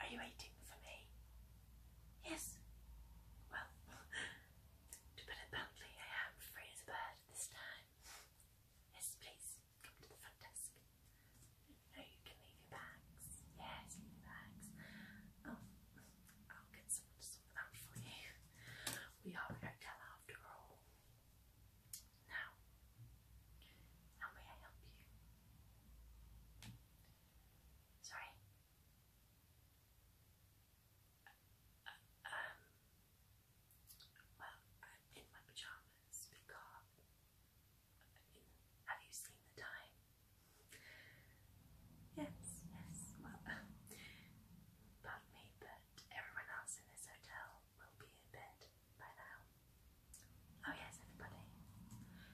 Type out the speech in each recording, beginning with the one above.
Are you waiting for me? Yes. Well, to put it bluntly, I am free as a bird this time. Yes, please come to the front desk. No, you can leave your bags. Yes, your bags. Oh, I'll get someone we are Rectal after all. Now, how may I help you? Sorry. Uh, um. Well, I'm uh, in my pajamas because. Uh, have you seen the time? Yes, yes, well, pardon me, but everyone else in this hotel will be in bed by now. Oh, yes, everybody. No, no,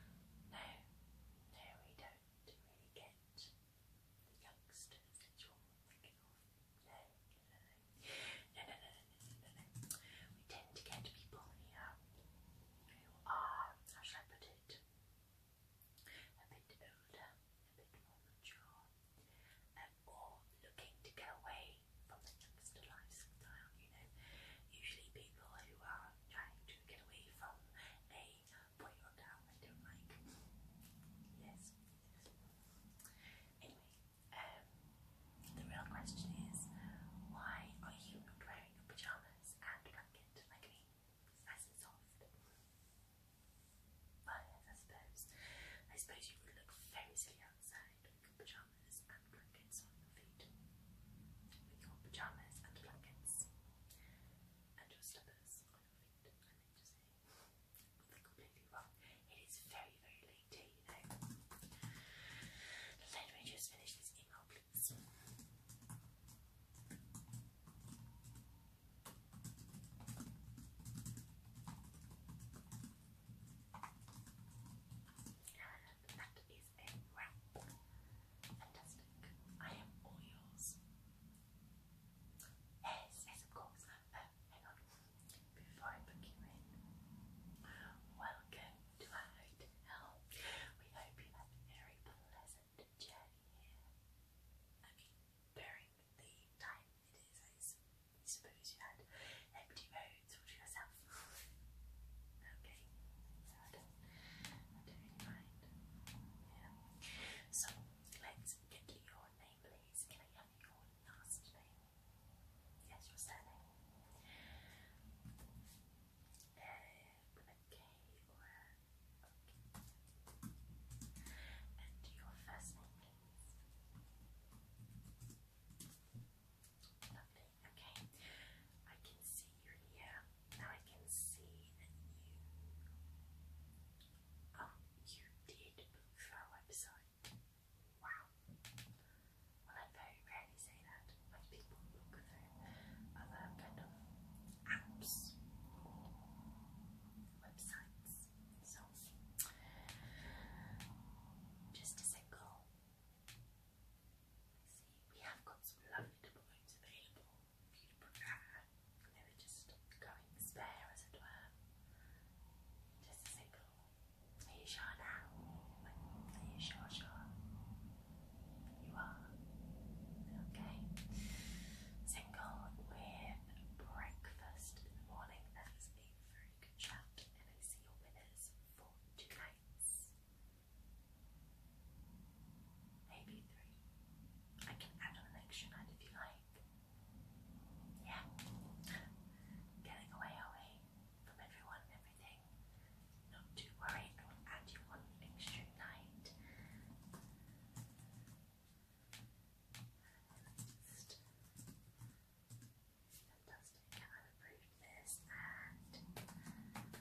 we don't really get the youngsters No, no, no, no, no, no, no, We tend to get people who are, how should I put it? a bit older, a bit more mature, or looking to get away from the youngster lifestyle. You know, usually people who are trying to get away from a boy or girl they don't like. Yes. Anyway, um, the real question is, why are you not wearing your pajamas and blanket like me? It's But yes, I suppose. I suppose you would look very silly outside with your pajamas and blankets on your feet. With your pajamas and blankets and your slippers on your feet, I meant to completely wrong. It is very, very late here, you know. Let me just finish this email, please. And that is a wrap. Fantastic. I am all yours. Yes, yes, of course. Uh, uh, hang on. Before I book you in, welcome to our hotel. We hope you had a very pleasant and journey here. I mean, bearing the time it is, I suppose you had empty roads all to I don't, I don't mind. Yeah. So let's get your name, please. Can I have your last name? Yes, your surname. Uh, with Okay. And your first name, please. Okay. I can see you're here. Now I can see that you. Oh, you did book our website. Wow. Well, I very rarely say that when people book through other kind of apps websites. So, just a single. see, we have got some lovely diplomas available if you They were just going spare, as it were. Just a single. you sure now? you sure, sure? You are. Okay. Single with breakfast in the morning. That is a very good chat. And I see your winners for two nights. Maybe three. I can add an extra night if you like. Yeah. Getting away away from everyone and everything. Not to worry, add you one extra night. Just I've approved this you three nights here.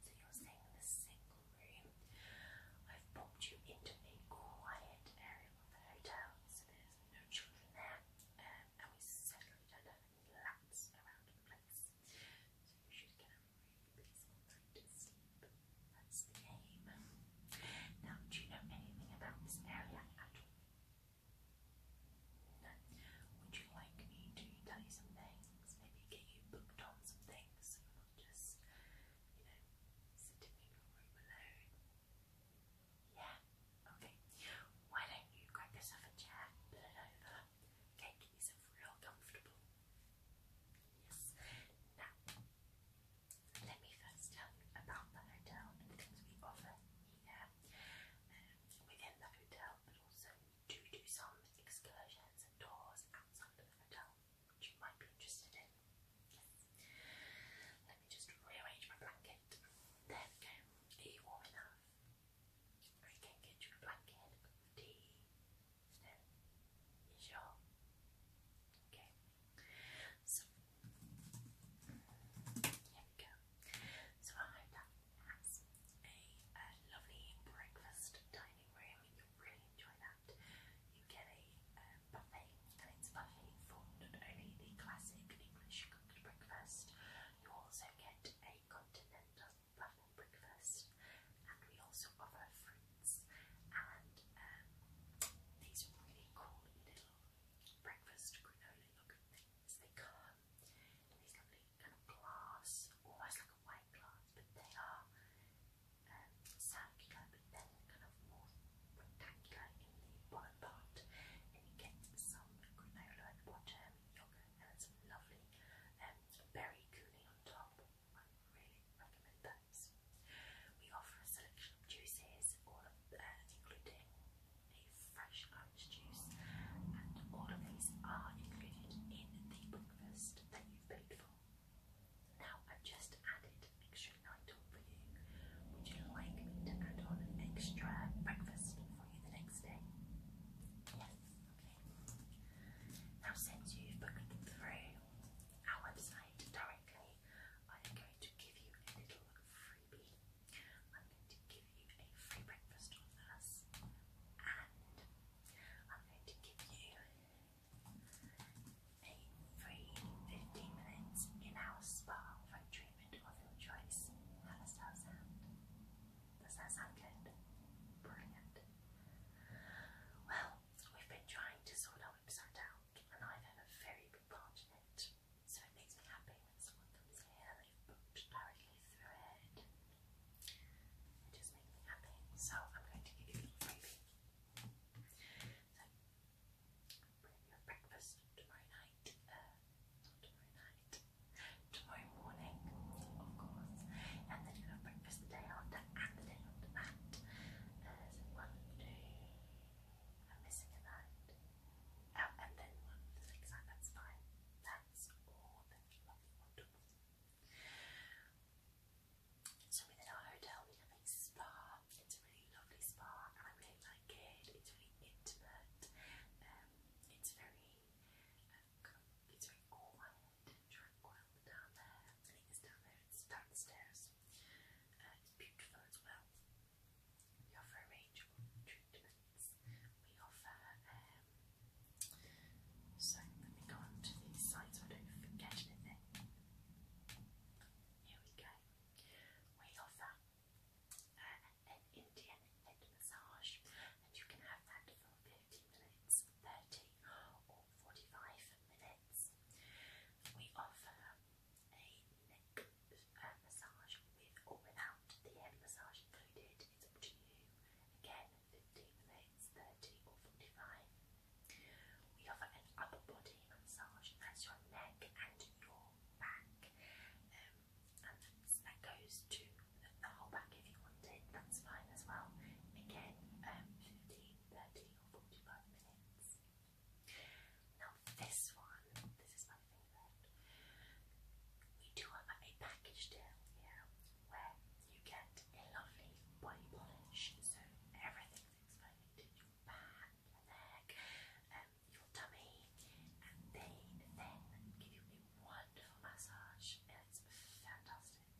So you're seeing the sixth room. I've booked you into a quiet area of the hotel, so there's no children there, um, and we certainly don't have any laps around the place. So you should get a really peaceful night to sleep. That's the aim. Now, do you know anything about this area No. Would you like me to tell you some things? Maybe get you booked on some things just you Yeah, okay. Why don't you grab yourself a chair, okay, get yourself real comfortable. Yes. Now, let me first tell you about the hotel and the things we offer here within the hotel, but also do do some excursions and tours outside the hotel which you might be interested in. Let me just rearrange my blanket. There we go. Are you warm enough? I can get you a blanket, tea. No? You Okay. So, here we go. So I hope that has a lovely breakfast dining room. You'll really enjoy that that you get a um, buffet, cleanse buffet for not only the classic English cooked breakfast, you also get a continental buffet breakfast, and we also offer fruits and um, these really cool little breakfast granola looking things. They come in these lovely kind of glass, almost like a wine white but they are um, but then kind of more rectangular in the bottom part. And you get some granola at yogurt, and some lovely berry um, cooling on top. I really recommend those. We offer a selection of juices, all of uh, including fresh orange juice, and all of these are included in the breakfast that you've paid for. Now I've just added extra night on for you. Would you like to add on an extra breakfast for you the next day? Yes, okay. Now since you've booked through our website directly, I am going to give you a little freebie. I'm going to give you a free breakfast with us and I'm going to give you a free 15 minutes in house spa for treatment of your choice. does that sound? good? Brilliant. Well, we've been trying to sort our website out, and I've a very big part So it makes me happy when someone comes here they've booked directly through it. It just makes me happy. So I'm going to give you a freebie. So bring your breakfast tomorrow night. not tomorrow night. Tomorrow morning, of course. And then you have breakfast the day after and the day after that. Uh, one, two. I'm missing a night. Um, and then one the next night. That's fine. That's all. That's lovely, wonderful. So we our hotel, we have a spa. It's a really lovely spa and I really like it. It's really intimate. Um, it's very um, it's very quiet tranquil down there. I think it's down there, it's down uh, it's beautiful as well. We offer a range of treatments. We offer um, so let me go on these sides I don't forget anything. Here we go. We offer uh, an Indian head massage, and you can have that for 50 minutes, 30 or 45 minutes. We offer a neck uh, massage with or without the head massage included. It's up to you. Again, 15 minutes, 30 or 45. We offer an upper body massage, that's your neck and your back. Um, and that goes to the, whole back if you want that's fine as well. Again, um, or 45 minutes. Now this one, this is my favourite. We do have a package deal here where you get a lovely body polish, so everything's exfoliated, your back, your neck, um, your tummy, and they then give you a wonderful massage. It's fantastic.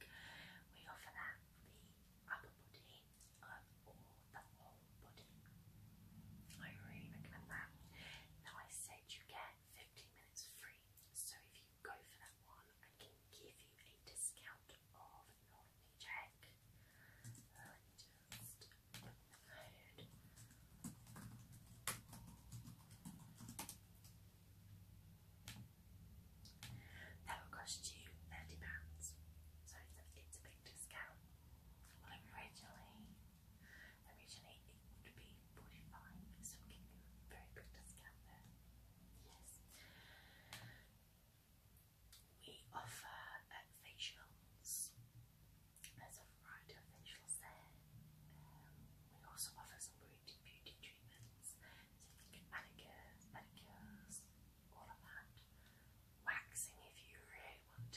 We offer that the upper body or the whole body. I really recommend that. Now I said you get 15 minutes free, so if you go for that one, I can give you a discount of not let That will cost you thirty pounds. So it's a, big discount. originally, originally it would be forty-five, so very big discount there. Yes. We offer uh, facials. There's a variety of facials there. Um, we also offer some beauty, beauty treatments. So you manicures, all of that. Waxing if you really want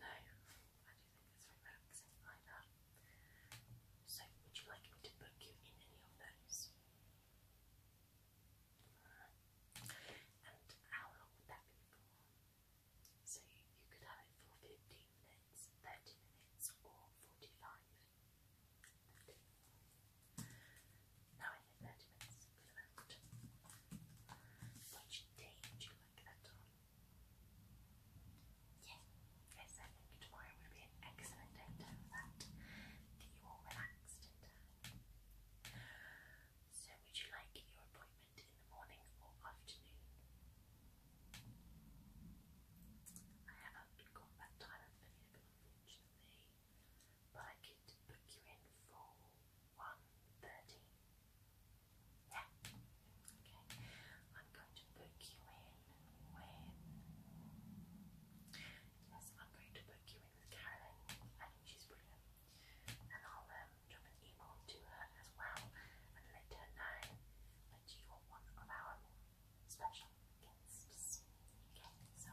No, I do think it's relaxing like that. So, would you like me to book you in any of those? And how long would that be for? So, you could have it for 15 minutes, 30 minutes, or 45. No, I 30 minutes good amount. Which day would you like that on? Yes, I think tomorrow would be an excellent day to that. Get you all relaxed in uh, So, would you like your appointment in the morning or afternoon? I haven't got that time available, unfortunately, but I could book you in for one thirty. Yeah. Okay. I'm going to book you in win. Yes, I'm going to book you in with Caroline. I think she's brilliant. And I'll um, drop an email to her as well and let her know that you are one of our special guests. Okay, so.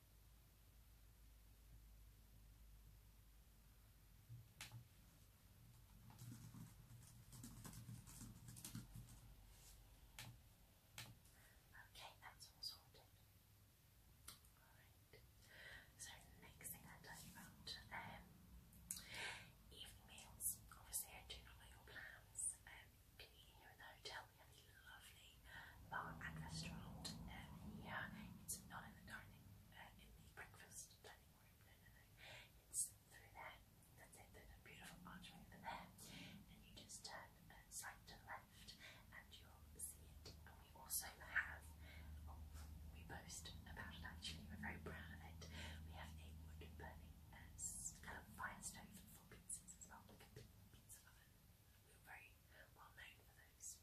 Okay, that's all sorted. Alright. So next thing I tell you about um, evening meals. Obviously I do know your plans. Um you in the hotel. We have a lovely bar and restaurant um, It's not in the current dining in the breakfast dining room. No, no, no. It's through there. That's it. There's a beautiful archway over there, and you just turn uh, to left, and you'll see it. And we also have. Oh, we boast about it actually. We're very proud of it. We have a wood burning uh, kind of fire stove for pizzas as well, like a pizza oven. We're very well known for those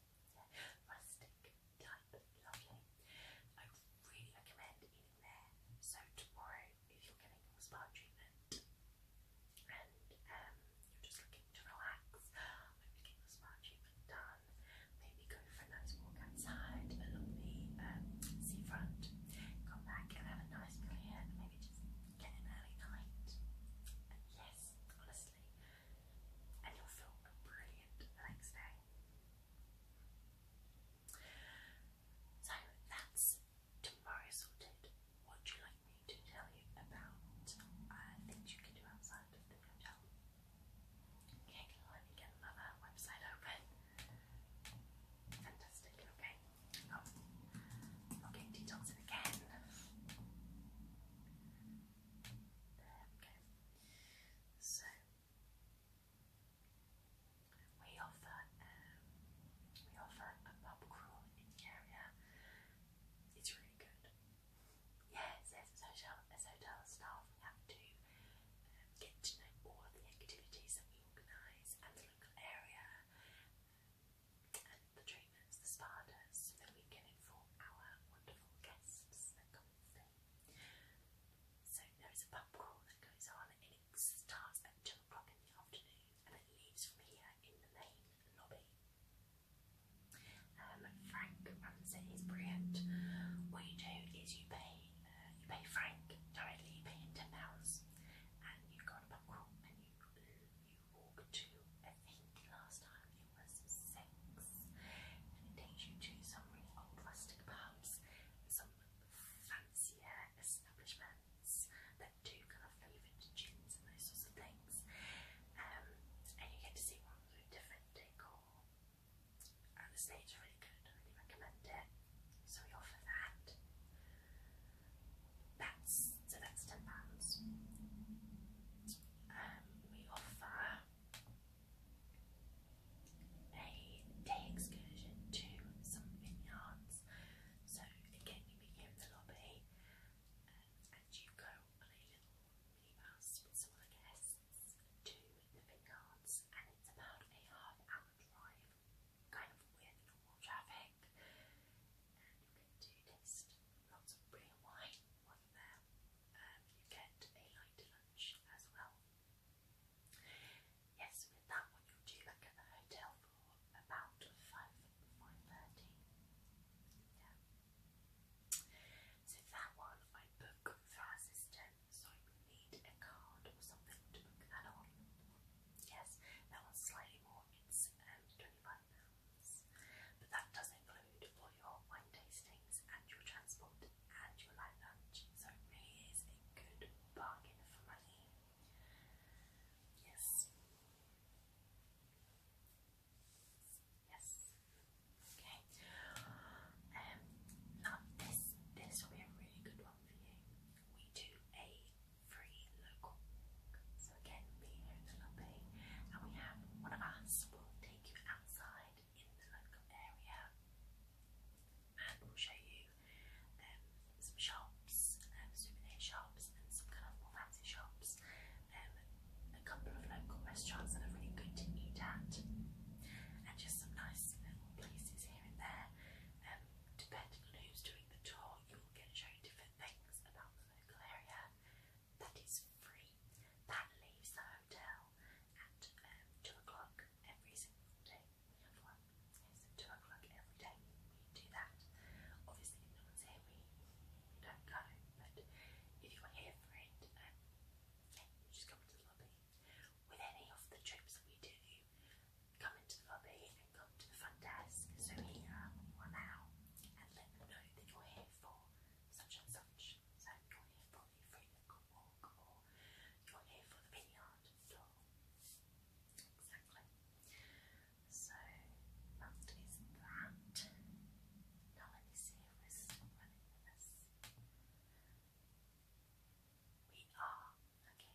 rustic type, lovely. I really recommend eating there. So tomorrow, if you're getting your spa treatment and you're just looking to relax, maybe get your spa treatment done, maybe go for a nice walk outside along the seafront, come back and have a nice meal maybe just get an early night. yes, honestly, and you'll feel brilliant the next day. So that's tomorrow sorted. What would you like me to tell you about uh, things you can do outside the hotel? Okay, let me get another website open. Fantastic, okay. Oh, okay, detoxing again. So we offer um, we offer a pub crawl in the area. It's really good. Yeah, as hotel, as hotel staff we have to um, get to know all the activities that we organise and the local area um, and the treat trainers, the spa does, so that we can our wonderful guests that come and stay. So there's a pub crawl that goes on and it starts at 2 o'clock in the afternoon and it leaves from here in the main lobby. Um, Frank runs it, he's brilliant. What you do is you pay uh, you pay Frank directly, you pay him £10 and you go on a pub crawl and you, you walk to, I think last time it was six, and it takes you to some really old rustic pubs, some fancier establishments that do kind of flavoured gins and those sorts of things, um, and you get to see ones with different decor. the state's really good, I really recommend it. So we offer that. That's so that's ten pounds um, we offer a day excursion to some vineyards. So again, you meet in the lobby, and you go on a little minibus with some other guests to the vineyards, and it's about a half hour drive, kind of with normal traffic, and you get to taste lots of real wine one there. Um, you get a light lunch as well. Yes, with that one you do back at the hotel for about five five thirty. Yeah. So that one I book for our system, so I will need a card or something to book that on. Yes, that one's slightly more. It's um, twenty five pounds pounds. But that does include all your wine tastings and your transport and your lunch, so it really is a good bargain for money. Yes. Yes. Okay. Um, now this this will be a really good one for you. We do a free local so again, being here in the lobby, and we have one of us will take you outside in the local area, and we'll show you um, some shops, um, souvenir shops, and some kind of more fancy shops, um, a couple of local restaurants that are really good to eat at, and just some nice little places here and there. depending on who's doing the tour, you will get shown different things about the local area that is free. That leaves the hotel at um, 2 o'clock every single day. We have It's 2 o'clock every day. We do that. Obviously, if no one's here, we, don't go. But if you are here for it, um, just come into the lobby. With any of the trips that we do, come into the lobby and come to the front desk. So here, one out, and know you're here for such and such. So you're here for the free local walk you're here for the vineyard or exactly. So that is that. Now let me see if we're still running We are. Okay.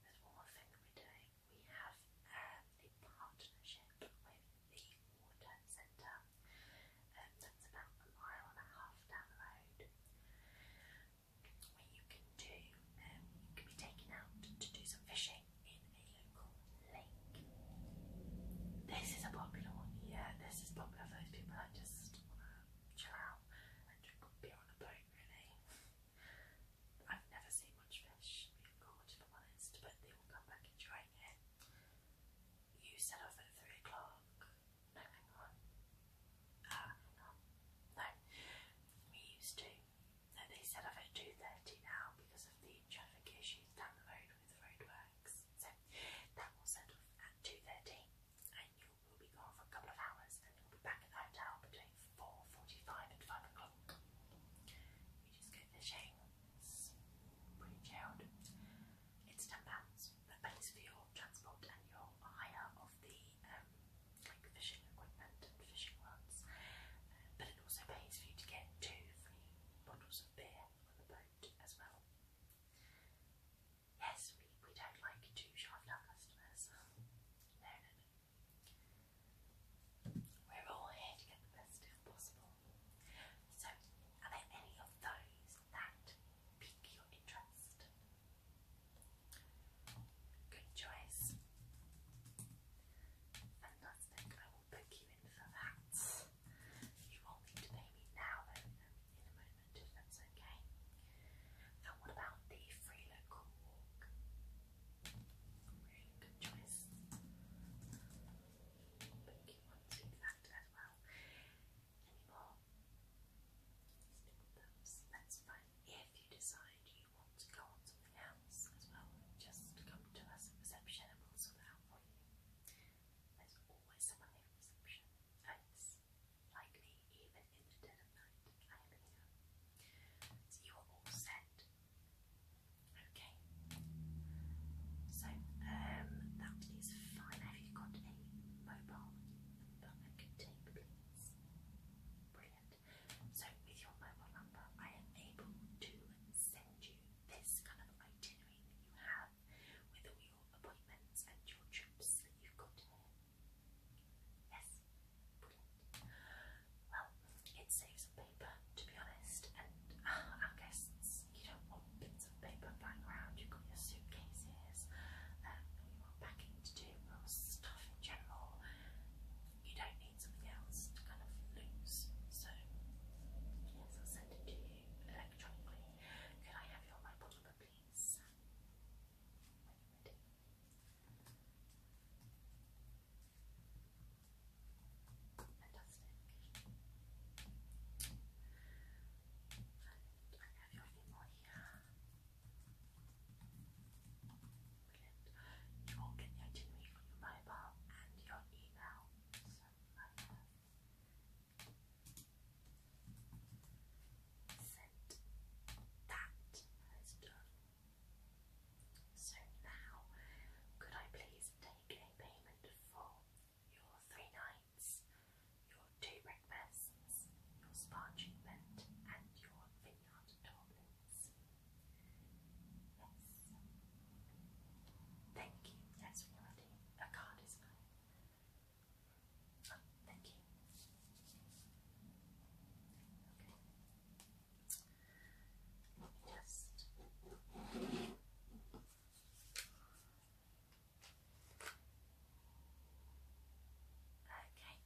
There's one more thing we're doing we have a uh, partnership with the water centre. Um, about a mile and a half down the road. Where you can do, um, you can be taken out to do some fishing in a local lake. This is a popular one. Yeah, this is popular for those people that just want to chill out and drink beer on a boat. Really, I've never seen much fish being caught, if I'm but we come back and it. You set off at three o'clock. No, ah, hang on. No, we used to. No, they set off at two thirty now because of the traffic issues down the road with roadworks. So that will set off at two thirty, and you will be gone for a couple of hours, and you'll be back at the hotel between four forty-five and five o'clock you just go fishing. pretty chilled. It's ten pounds that pays for your transport and your hire of the um, like fishing equipment and fishing rods, but it also pays for you to get two free bottles of beer on the boat as well. Yes, we, we don't like to shaft customers. No, no, no. We're all here to get the best deal possible. So, are there any of those that pique your interest? Good choice. Fantastic. I will book you in for that. You will need to pay me now, though, in a moment, if that's okay. And what about the free local walk? Really good choice. But you want to do that as well. Anymore? That's fine. If you decide you want to go on something else as well, just come to us at reception and we'll sort it out for you. There's always someone here reception. it's like even in the dead night, I am here. you are all set Okay. So um, that is fine. Have you got a mobile number I can take, please? Brilliant. So with your mobile number, I am able to send you this kind of itinerary you have with all your appointments and your trips that you've got Yes. Well, it saves some paper, to be honest, and uh, our you don't want bits of paper flying around. You've got your suitcases, um, you want packing to do, or stuff in general. You don't need something else to kind of lose. So, yes, I'll send it to you electronically. Could I have your mobile number, please? Fantastic. I have you anymore You can get to me on your mobile and your email. So I have that as done so now, could I please take a payment for your three nights, your two breakfasts, your spa treatment, and your vineyard tournaments? Yes. Thank you. Yes, we already. A card is mine. thank you. Okay. Just Okay.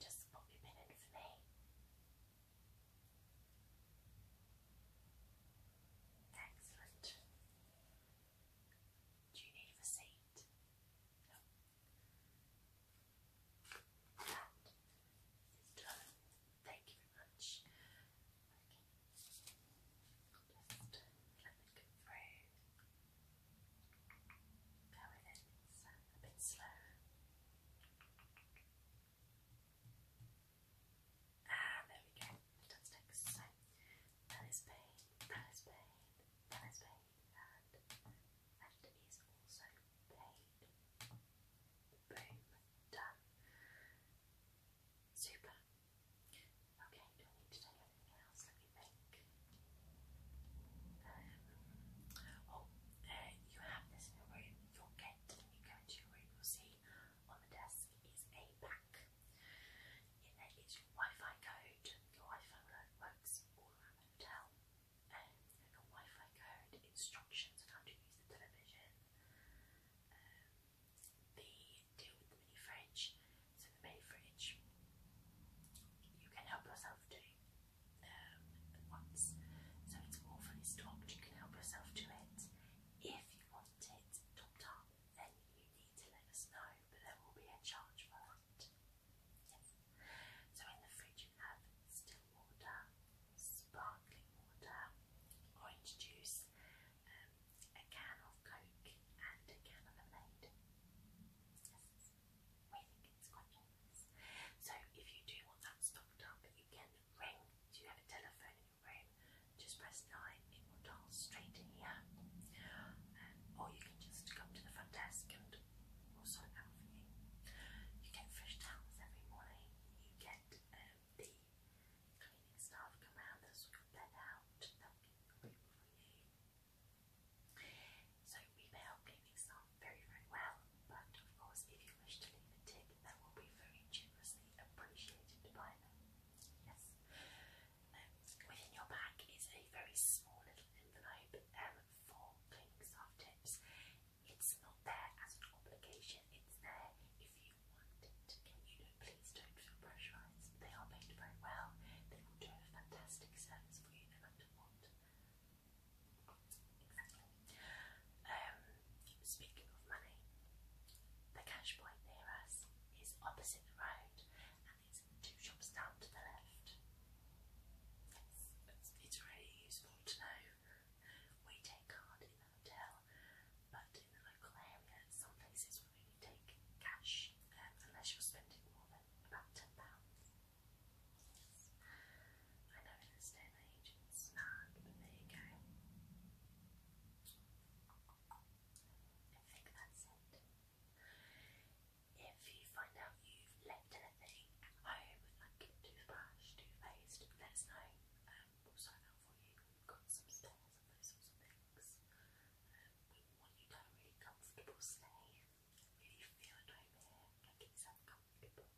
Just pop your pin in for me. Excellent. Do you need a receipt? That is done. Thank you very much. let it go through. Go with a bit slow. Ah, there we go. That's next. that is pain, that is pain, that is pain, and that is also blade. Boom, done. Super. Okay, do I need to take anything else? Let me think. oh, you have this in your room. Your gate, when you go into your room, you'll see on the desk is a pack. In your Wi Fi code. Your Wi Fi works all around the hotel the Wi-Fi code, instructions on how to use the television. Um, deal with the mini fridge. So the mini fridge, you can help yourself do um, once. So it's all fully stocked. You can help yourself do it. If you want it topped up, then you need to let us know. But there will be a charge for that. Yes. So in the fridge you have still water, sparkling water, orange juice, um, a can of Coke and a can of lemonade. Yes. We think it's So if you do want that stocked up, you can ring. Do you have a telephone in your room? Just press 9, it will dial straight in here. Um, or you can just come to the front desk and also an alpha. You get fresh towels every morning. You get um, the cleaning staff come around, they sort your bed out, they'll keep the for you. So we pay our cleaning staff very, very well, but of course if you wish to leave a tip, that will be very generously appreciated by them. Yes. Um, within your bag is a very small little envelope um, for cleaning staff tips. It's not there as an obligation, it's there if you want it. You know, please don't feel pressurised. They are paid very well, they will do a fantastic service for you no matter what. Exactly. Um, speaking of money, the cash near us is opposite the road and it's two shops down to the left it's really useful to know. We take card in the hotel, but in the local area, some places will take cash um, unless you're spending more than about ten pounds. Yes. I know in this day and age it's mad, but there you go. I think that's it. If you find out you've left anything home, like toothbrush, toothpaste, let us know. Um, we'll sign out for you. We've got some spares and things. Um, we want you to have a really comfortable stay. Really feel at home here. Like it's uncomfortable.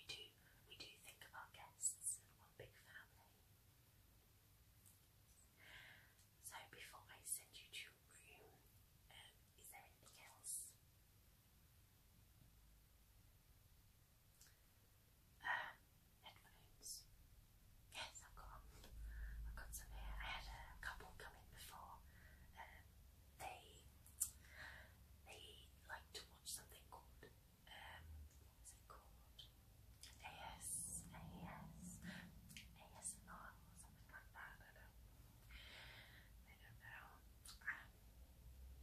We do, we do think of our guests as one big family. So before I send you to your room, um, is there anything else headphones. Yes, I've got I've got some here. I had a couple come in before. Um, they they like to watch something called um, what's it called? AS or something like that. I don't know. I don't know.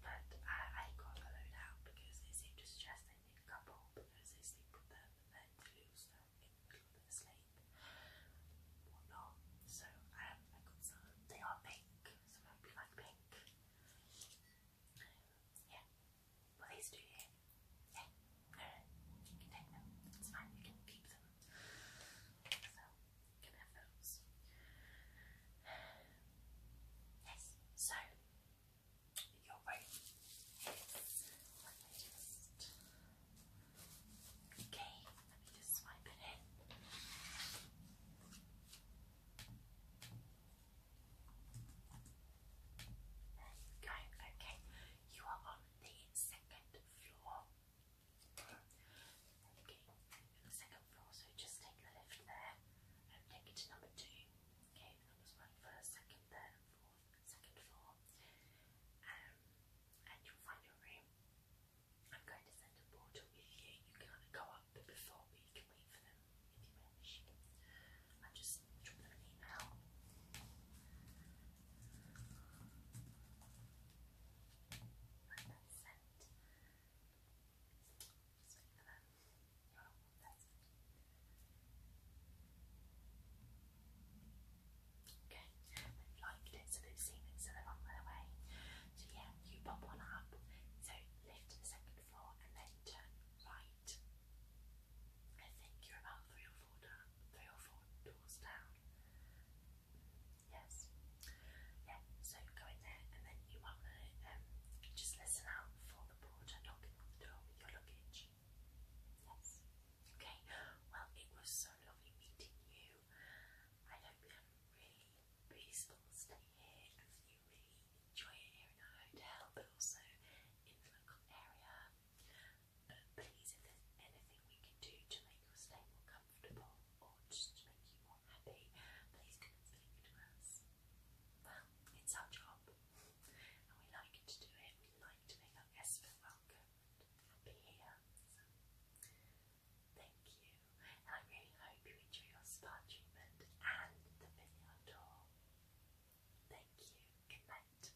but I, I got a load out because they seem to suggest they need a couple because they sleep with them and lose them in the middle of sleep whatnot. So um, I got some. They are pink, so I hope you like pink. yeah. Well, these two Yeah. No, take them. It's fine. You can keep them. So can Yes, so your room is okay, let me just swipe it in. There you okay. You are on the second floor. Okay, second floor, so just take the lift there take it to number two. Okay, the one first, second, third, fourth, second floor. Um, and you'll find your room. I'm going to send a portal with you. You can go up before or you can wait for them if you wish. I just drop an email. Magnificent. Speaking you liked it, so they've so they're on their way. So yeah, you pop on up. So lift to the second floor and then turn right. I think you're about three or four three or four doors down. Yes. Yeah, so go in there and then you um, just listen out for the porter knocking on the door with your luggage. Yes. Okay, well, it was so lovely meeting you. I hope you have a really peaceful stay here and you really enjoy here in our hotel, but also in the local area. But please, if there's anything we can do to make your stay more comfortable or just to make you more happy, please come and speak to us. Well, it's our job, and we like to do it. We like to make our guests feel welcome and happy here. thank you, and I really hope you enjoy your spa treatment and the video tour. Thank you. Good night.